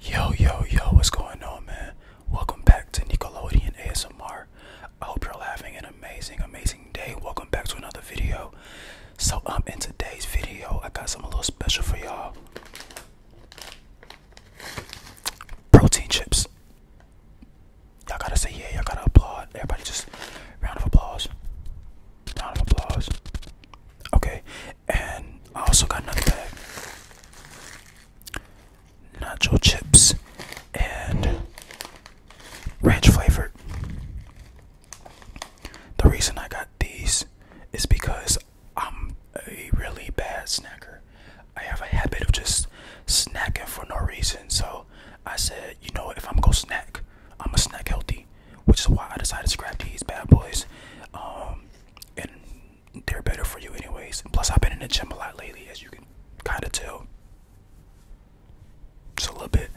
Yo, yo, yo, what's going on, man? Welcome back to Nickelodeon ASMR. I hope you're having an amazing, amazing day. Welcome back to another video. So, um, in today's video, I got some little special for y'all protein chips. Y'all gotta say, yeah, y'all gotta applaud. Everybody, just round of applause. Round of applause. Okay, and I also got another bag. Nacho chips and ranch flavored. The reason I got these is because I'm a really bad snacker. I have a habit of just snacking for no reason. So I said, you know, if I'm gonna snack, I'm gonna snack healthy, which is why I decided to grab these bad boys. Um, and they're better for you anyways. Plus, I've been in the gym a lot lately, as you can kind of tell. Just a little bit.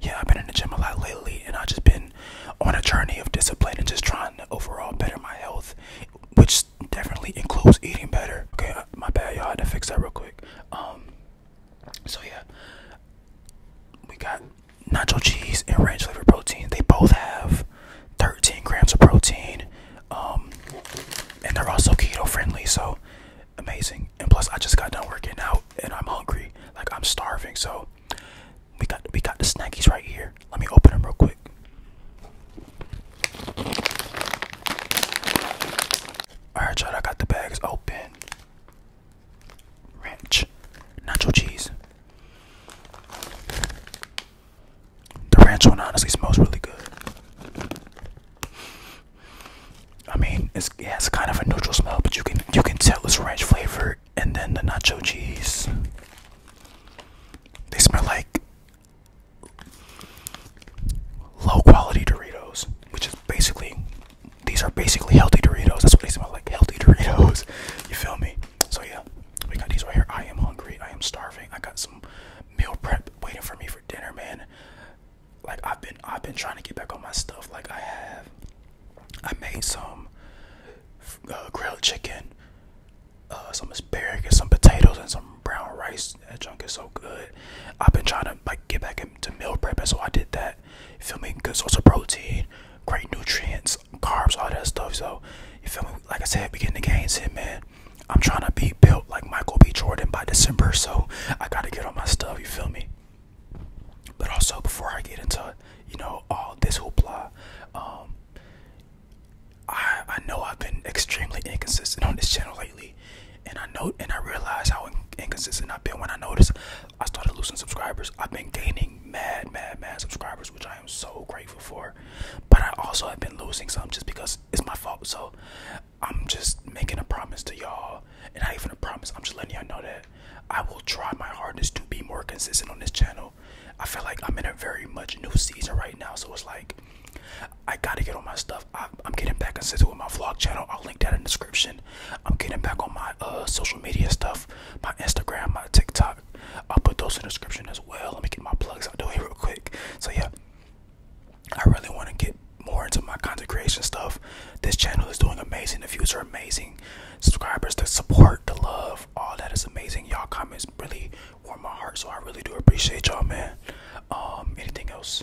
Yeah, I've been in the gym a lot lately, and I've just been on a journey of discipline and just trying to overall better my health, which definitely includes eating better. Okay, uh, my bad, y'all had to fix that real quick. Um, so yeah, we got nacho cheese and ranch flavored protein. They both have 13 grams of protein, um, and they're also keto friendly. So amazing. And plus, I just got done working out, and I'm hungry. Like I'm starving. So we got we got the snackies right here. Let me open them real quick. Alright y'all, I got the bags open. Ranch, nacho cheese, the ranch one honestly smells really good. I mean, it has kind of a neutral smell, but you can you can tell it's ranch flavored, and then the nacho cheese. They smell like low quality Doritos, which is basically these are basically healthy Doritos. That's what they smell like, healthy Doritos. You feel me? So yeah we got these right here. I am hungry. I am starving. I got some meal prep waiting for me for dinner, man. Like I've been, I've been trying to get back on my stuff. Like I have, I made some uh, grilled chicken, uh, some asparagus, some potatoes, and some brown rice. That junk is so good. I've been trying to like get back into meal prep, and so I did that. You feel me? Good source of protein, great nutrients carbs, all that stuff. So you feel me? Like I said, beginning the gains hit, man. I'm trying to be built like Michael B. Jordan by December, so I gotta get all my stuff. You feel me? But also before I get into you know all this hoopla, um, I I know I've been extremely inconsistent on this channel lately, and I know and I realize how inconsistent I've been when I notice I started losing subscribers. I've been gaining mad, mad, mad subscribers, which I am so grateful for. But I also have been losing some just because it's my fault. So I'm just making a promise to y'all, and not even a promise. I'm just letting y'all know that I will try my hardest to be more consistent on this channel. I feel like I'm in a very much new season right now, so it's like I gotta get on my stuff. I, am getting back consistent with my vlog channel. I'll link that in the description. I'm getting back on my uh, social media stuff, my Instagram, my TikTok. I'll put those in the description as well. Let me get my plugs out of here real quick. So yeah, I really want to get more into my content creation stuff. This channel is doing amazing. The views are amazing. Subscribers, the support, the love, all that is amazing. Y'all comments really warm my heart, so I really do appreciate y'all, man. Um, anything else?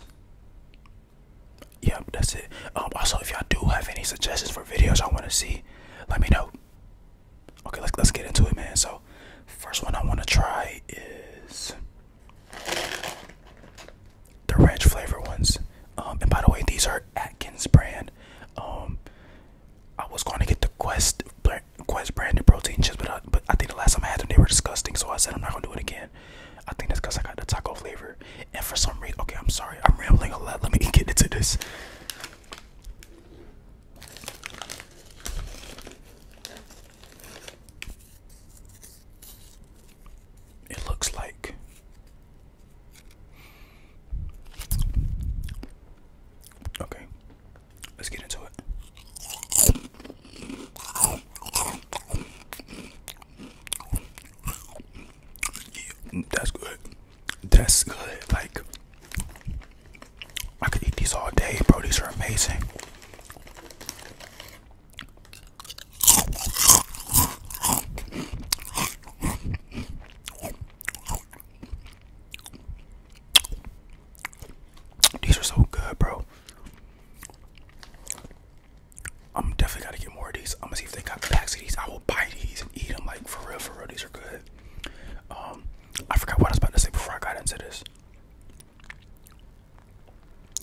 Yeah, that's it. Um, also, if y'all do have any suggestions for videos I want to see, let me know. Okay, let's let's get into it, man. So, first one I want to try is the ranch flavor ones. Um, and by the way, these are Atkins brand. Um, I was going to get the Quest Quest branded protein chips, but but I think the last time I had them, they were disgusting. So I said I'm not gonna do it again. I think that's because I got the taco flavor, and for some reason, okay, I'm sorry, I'm rambling a lot. Let me get into this. It looks like okay. Let's get into it. Mm, that's good. That's good. Like I could eat these all day, bro. These are amazing. These are so good, bro. I'm definitely gotta get more of these. I'm gonna see if they got packs of these. I will buy these and eat them. Like for real, for real, these are good. Um, I forgot what I was about to say before I got into this.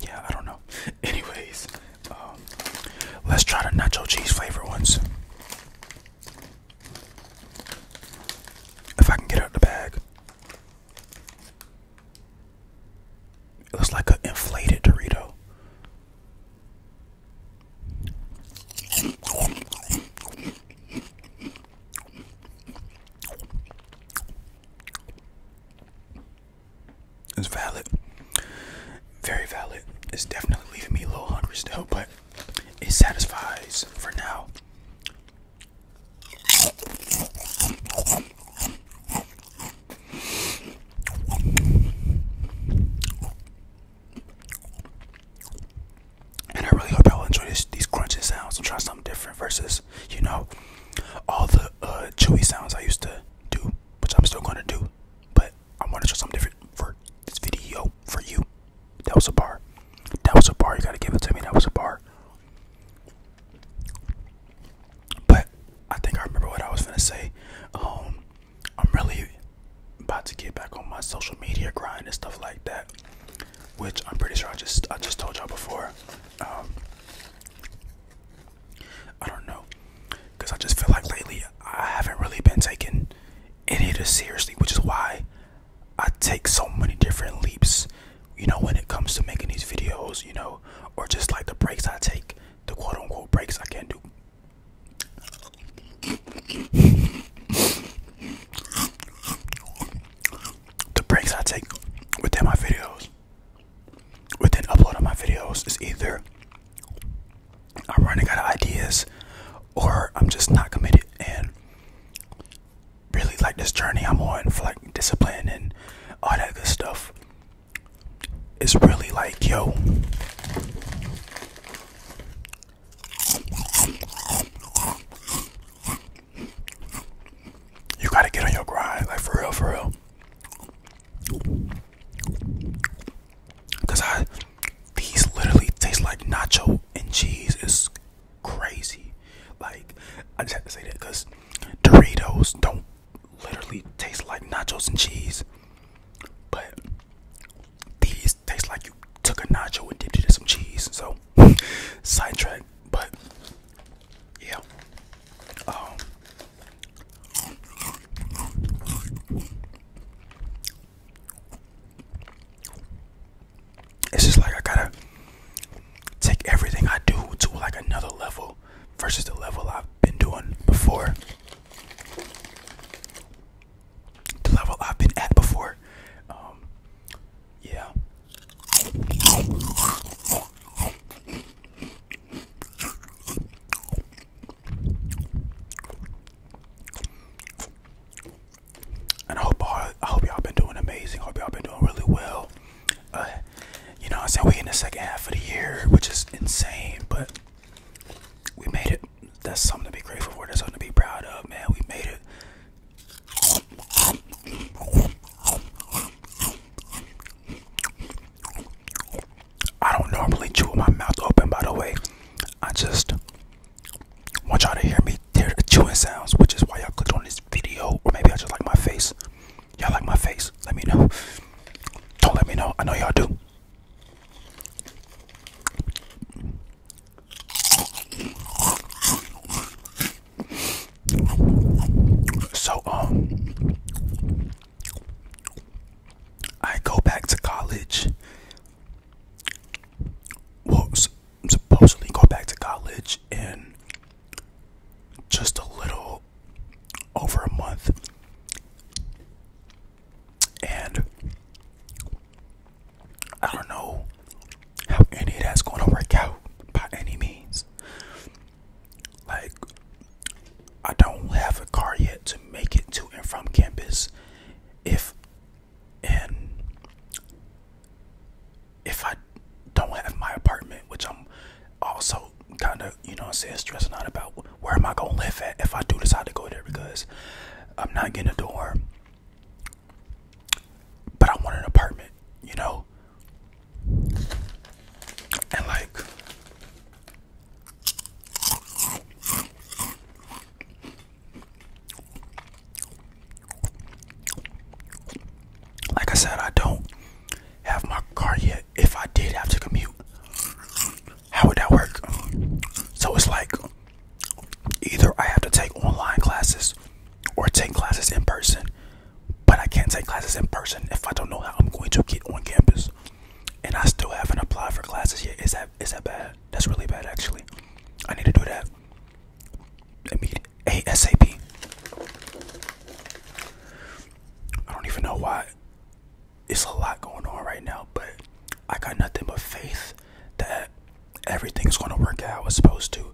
Yeah, I don't know. Anyways, um, let's try the nacho cheese flavor ones. If I can get out the bag, it looks like an inflated Dorito. It's valid. Very valid. It's definitely leaving me a little hungry still, but it satisfies for now. And I really hope y'all enjoy these crunching sounds. I'm trying something different versus, you know, all the uh, chewy sounds I used to do, which I'm still going to do. But I want to try something different for this video for you. That was a bar. That was a bar. You got to give it to me. That was a bar. But I think I remember what I was going to say. Um, I'm really about to get back on my social media grind and stuff like that, which I'm pretty sure I just I just told y'all before. Um, I don't know, cause I just feel like lately I haven't really been taking any of this seriously, which is why I take so many different leaps. You know, when it comes to making these videos, you know, or just like the breaks I take the quote unquote breaks I can't do. The breaks I take within my videos, within uploading my videos, is either I'm running out of ideas or I'm just not committed and really like this journey I'm on for like discipline and all that good stuff it's really like, yo, you gotta get on your grind, like for real, for real. Cause I, these literally taste like nacho and cheese. It's crazy. Like I just have to say that because Doritos don't literally tastes like nachos and cheese, but these taste like you took a nacho and dipped it in some cheese. So, sidetrack, but yeah. Um, it's just like I gotta take everything I do to like another level versus the level I've been doing before. The level I've been at before. Um, yeah. And I hope I hope y'all been doing amazing. Hope y'all been doing really well. Uh, you know, i said saying we in the second half of the year, which is insane, but we made it. That's something to be grateful for. That's something to be proud of, man. We made it. I don't normally chew with my mouth open, by the way. I just want y'all to hear me tear the chewing sounds, which is why I clicked on this video, or maybe I just like my face. Y'all like my face? Let me know. Don't let me know. I know y'all do. So um I go back to college. Well, supposedly go back to college and just a little over a month, and I don't know how any of that's going to work out by any means. Like, I don't have a car yet to make it to and from campus. If and if I don't have my apartment, which I'm also kind of, you know I'm saying, stressing out about where am I going to live at if I do decide to go there because I'm not getting a dorm. But I want an apartment, you know? And like, like I said, I don't have my car yet. If I did have to commute, how would that work? So it's like either I have to take online classes or take classes in person, but I can't take classes in person if I don't know how I'm going to get on campus. And I still haven't applied for classes yet. Is that is that bad? That's really bad actually. I need to do that. I mean ASAP. I don't even know why. It's a lot going on right now, but I got nothing but faith that everything is gonna work out i it's supposed to.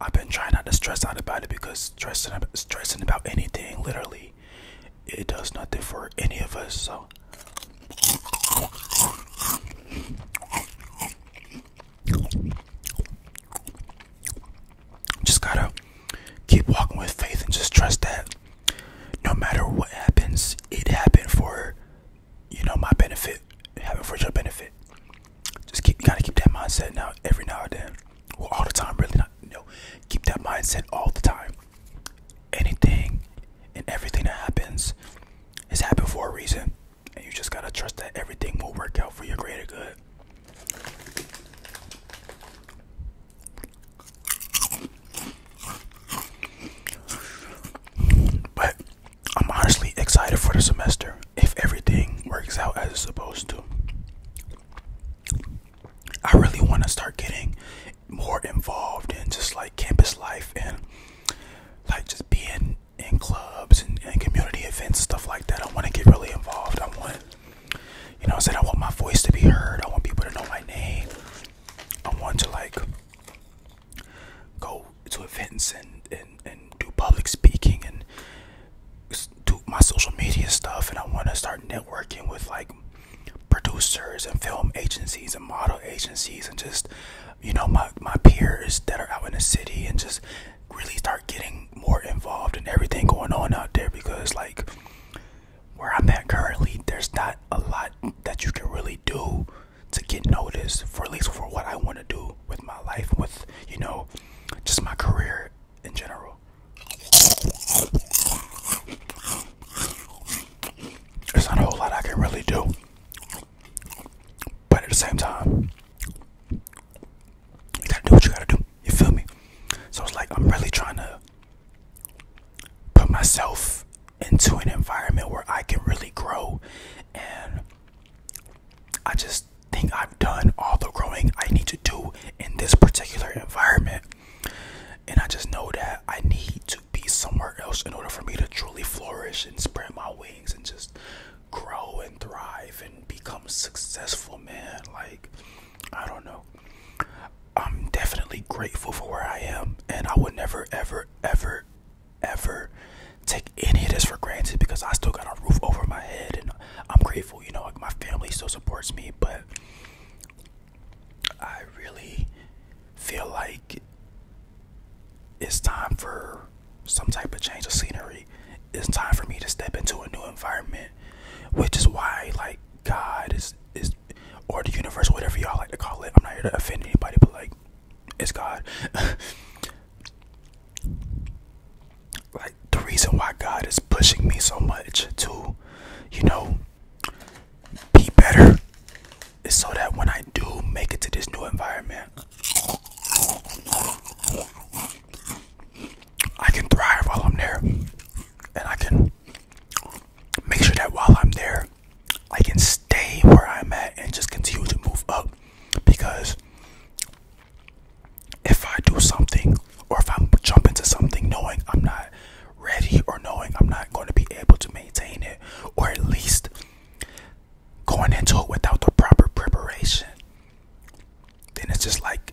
I've been trying not to stress out about it because stressing stressing about anything literally it does nothing for any of us. So just gotta keep walking with faith and just trust that no matter what happens, it happened for you know my benefit, having for your benefit. Just keep you gotta keep that mindset now every now and then. all the time really not you know, keep that mindset all the time. Anything and everything that happens is happened for a reason. And you just gotta trust that everything will work out for your greater good. But I'm honestly excited for the semester if everything works out as it's supposed to. I really want to start getting more involved in just like campus life and like just being in clubs and, and community events, stuff like that. I want to get really involved. I want you know, I said I want my voice to be heard. I want people to know my name. I want to like go to events and and and do public speaking and do my social media stuff. And I want to start networking with like producers and film agencies and model agencies and just you know my my peers that are out in the city and just really start getting more involved in everything going on out there because like where I'm at currently, there's not a lot that you can really do to get noticed for at least for what I want to do with my life, with you know, just my career in general. There's not a whole lot I can really do, but at the same time, you gotta do what you gotta do. You feel me? So it's like I'm really trying to put myself into an environment where I can really grow and I just think I've done all the growing I need to do in this particular environment. And I just know that I need to be somewhere else in order for me to truly flourish and spread my wings and just grow and thrive and become successful, man. Like, I don't know. I'm definitely grateful for where I am, and I would never, ever, ever, ever take any of this for granted because I still got a roof over my head, and I'm grateful. You know, my family still supports me, but I really feel like it's time for some type of change of scenery. It's time for me to step into a new environment, which is why like God is is or the universe, whatever y'all like to call it. I'm not here to offend anybody, but like it's God. like the reason why God is pushing me so much to, you know, be better is so that when I do make it to this new environment, I can thrive while I'm there, and I can make sure that while I'm there, I can stay where I'm at and just continue to move up. Because if I do something, or if I jump into something knowing I'm not ready, or knowing I'm not going to be able to maintain it, or at least going into it without the proper preparation, then it's just like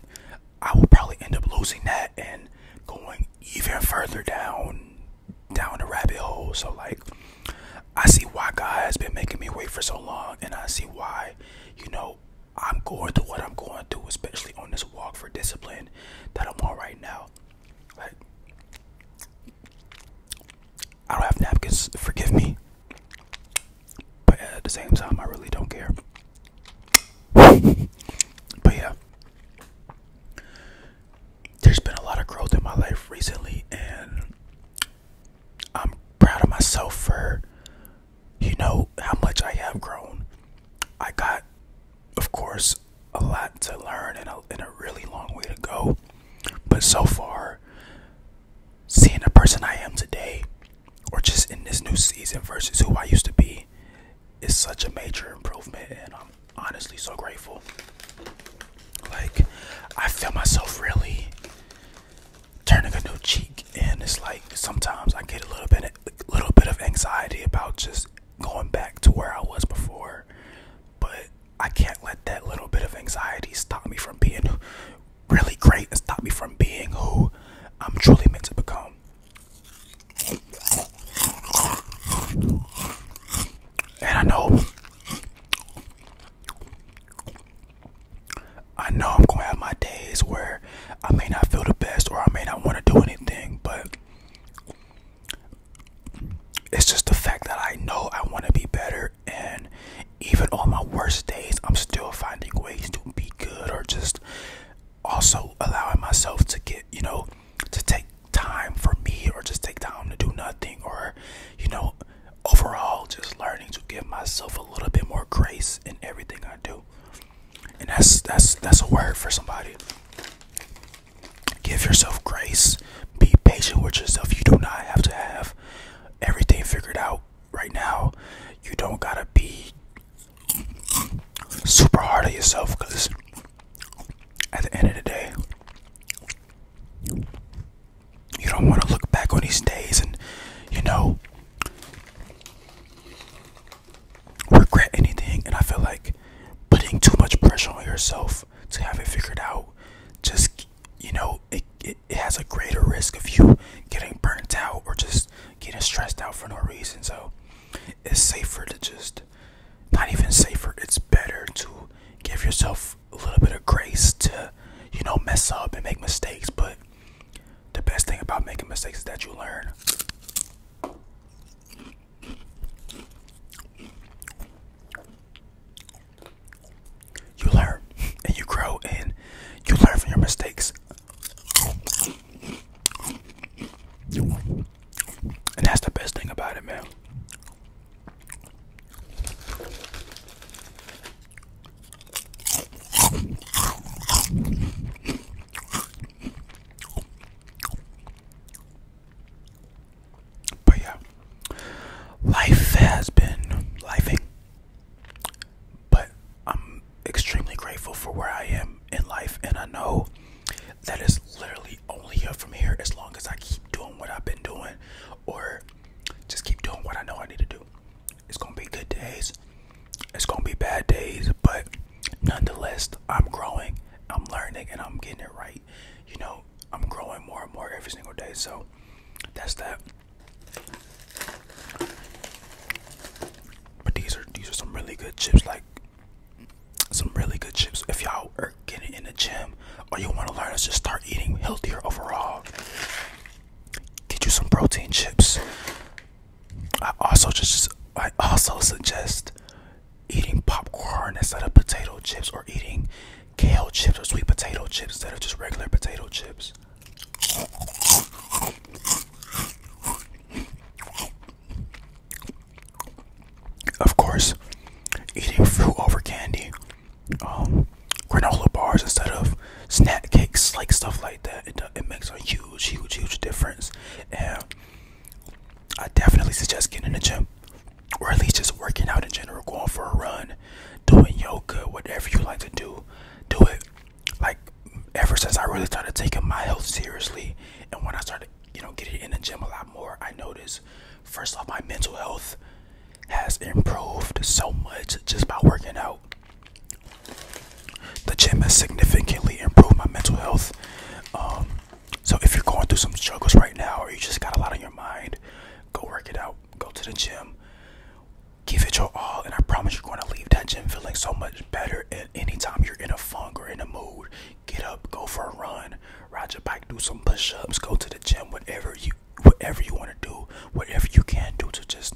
I will probably end up losing that and going even further down down the rabbit hole. So like I see why God has been making me wait for so long and I see why, you know, I'm going through what I'm going through, especially on this walk for discipline that I'm on right now. Like I don't have napkins, forgive me. But at the same time, I really don't care. but yeah, there's been a lot of growth in my life recently, and I'm proud of myself for, you know, how much I have grown. I got, of course, a lot to learn and a, and a really long way to go. But so far, seeing the person I am today, or just in this new season versus who I used to be, is such a major improvement, and I'm honestly so grateful. Like, I feel myself really turning a new cheek, and it's like sometimes I get a little bit, a little bit of anxiety about just going back to where I was before, but I can't let that little bit of anxiety stop me from being really great and stop me from being who I'm truly meant to become. And I know I know I'm gonna have my days where I may not feel the best or I may not want to do anything, but it's just the fact that I know I want to be better and even on my worst days i'm still finding ways to be good or just also allowing myself to get you know to take time for me or just take time to do nothing or you know overall just learning to give myself a little bit more grace in everything i do and that's that's that's a word for somebody give yourself grace be patient with yourself you do not have to have everything figured out right now. You don't gotta be super hard on yourself because at the end of the day, you don't want to look back on these days and, you know, regret anything. And I feel like putting too much pressure on yourself to have it figured out just, you know, it, it has a greater risk of you getting burnt out or just getting stressed out for no reason so it's safer to just not even safer it's better to give yourself a little bit of grace to you know mess up and make mistakes but the best thing about making mistakes is that you learn you learn and you grow and you learn from your mistakes. And that's the best thing about it, man. But yeah, life has been lifing, but I'm extremely grateful for where I am in life, and I know that it's literally only up from here as long as I keep doing what I've been doing, or just keep doing what I know I need to do. It's gonna be good days, it's gonna be bad days, but nonetheless, I'm growing, I'm learning, and I'm getting it right. You know, I'm growing more and more every single day. So that's that. But these are these are some really good chips. Like some really good chips. If y'all are getting in the gym or you want to learn to just start eating healthier overall, get you some protein chips. I also just I also suggest eating popcorn instead of potato chips or eating kale chips or sweet potato chips instead of just regular potato chips. Of course, eating fruit over candy, um, granola bars instead of snack cakes, like stuff like that. It, it makes a huge, huge, huge difference. And I definitely suggest getting in the gym or at least just working out in general, going for a run, doing yoga, whatever you like to do, do it. Like ever since I really started taking my health seriously, and when I started, you know, getting in the gym a lot more, I noticed first off my mental health has improved so much just by working out. The gym has significantly improved my mental health. Um, so if you're going through some struggles right now or you just got a lot on your mind, go work it out. Go to the gym. Give it your all and I promise you're going to leave that gym feeling so much better and anytime you're in a funk or in a mood, get up, go for a run, ride your bike, do some push-ups, go to the gym, whatever you whatever you want to do, whatever you can do to just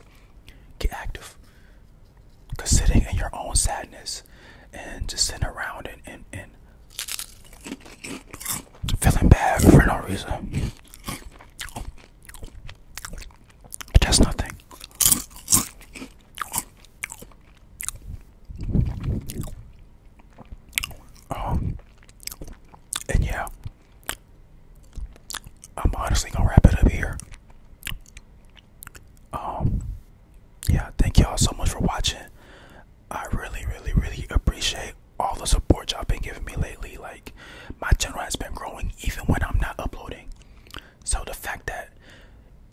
get active. Cause sitting in your own sadness and just sitting around and, and, and feeling bad for no reason. That's nothing. Um, and yeah, I'm honestly gonna wrap it up here. Um, yeah, thank y'all so much for watching. I really, really, really appreciate all the support y'all been giving me lately. Like, my channel has been growing even when I'm not uploading. So, the fact that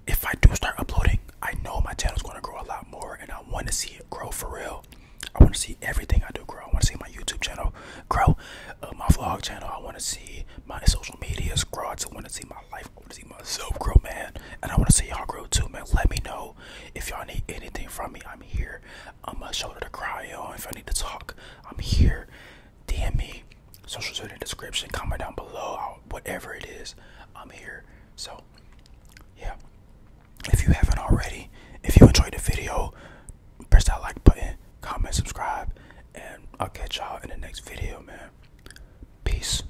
if I do start uploading, I know my channel's gonna grow a lot more and I wanna see it grow for real. I wanna see everything I do grow. I wanna see my YouTube channel grow, uh, my vlog channel. I wanna see my social medias grow. I wanna see my life I want to see myself grow, man, and I want to see y'all grow too, man. Let me know if y'all need anything from me. I'm here. I'm a shoulder to cry on. If I need to talk, I'm here. DM me. Social security description. Comment down below. Uh, whatever it is, I'm here. So, yeah. If you haven't already, if you enjoyed the video, press that like button, comment, subscribe, and I'll catch y'all in the next video, man. Peace.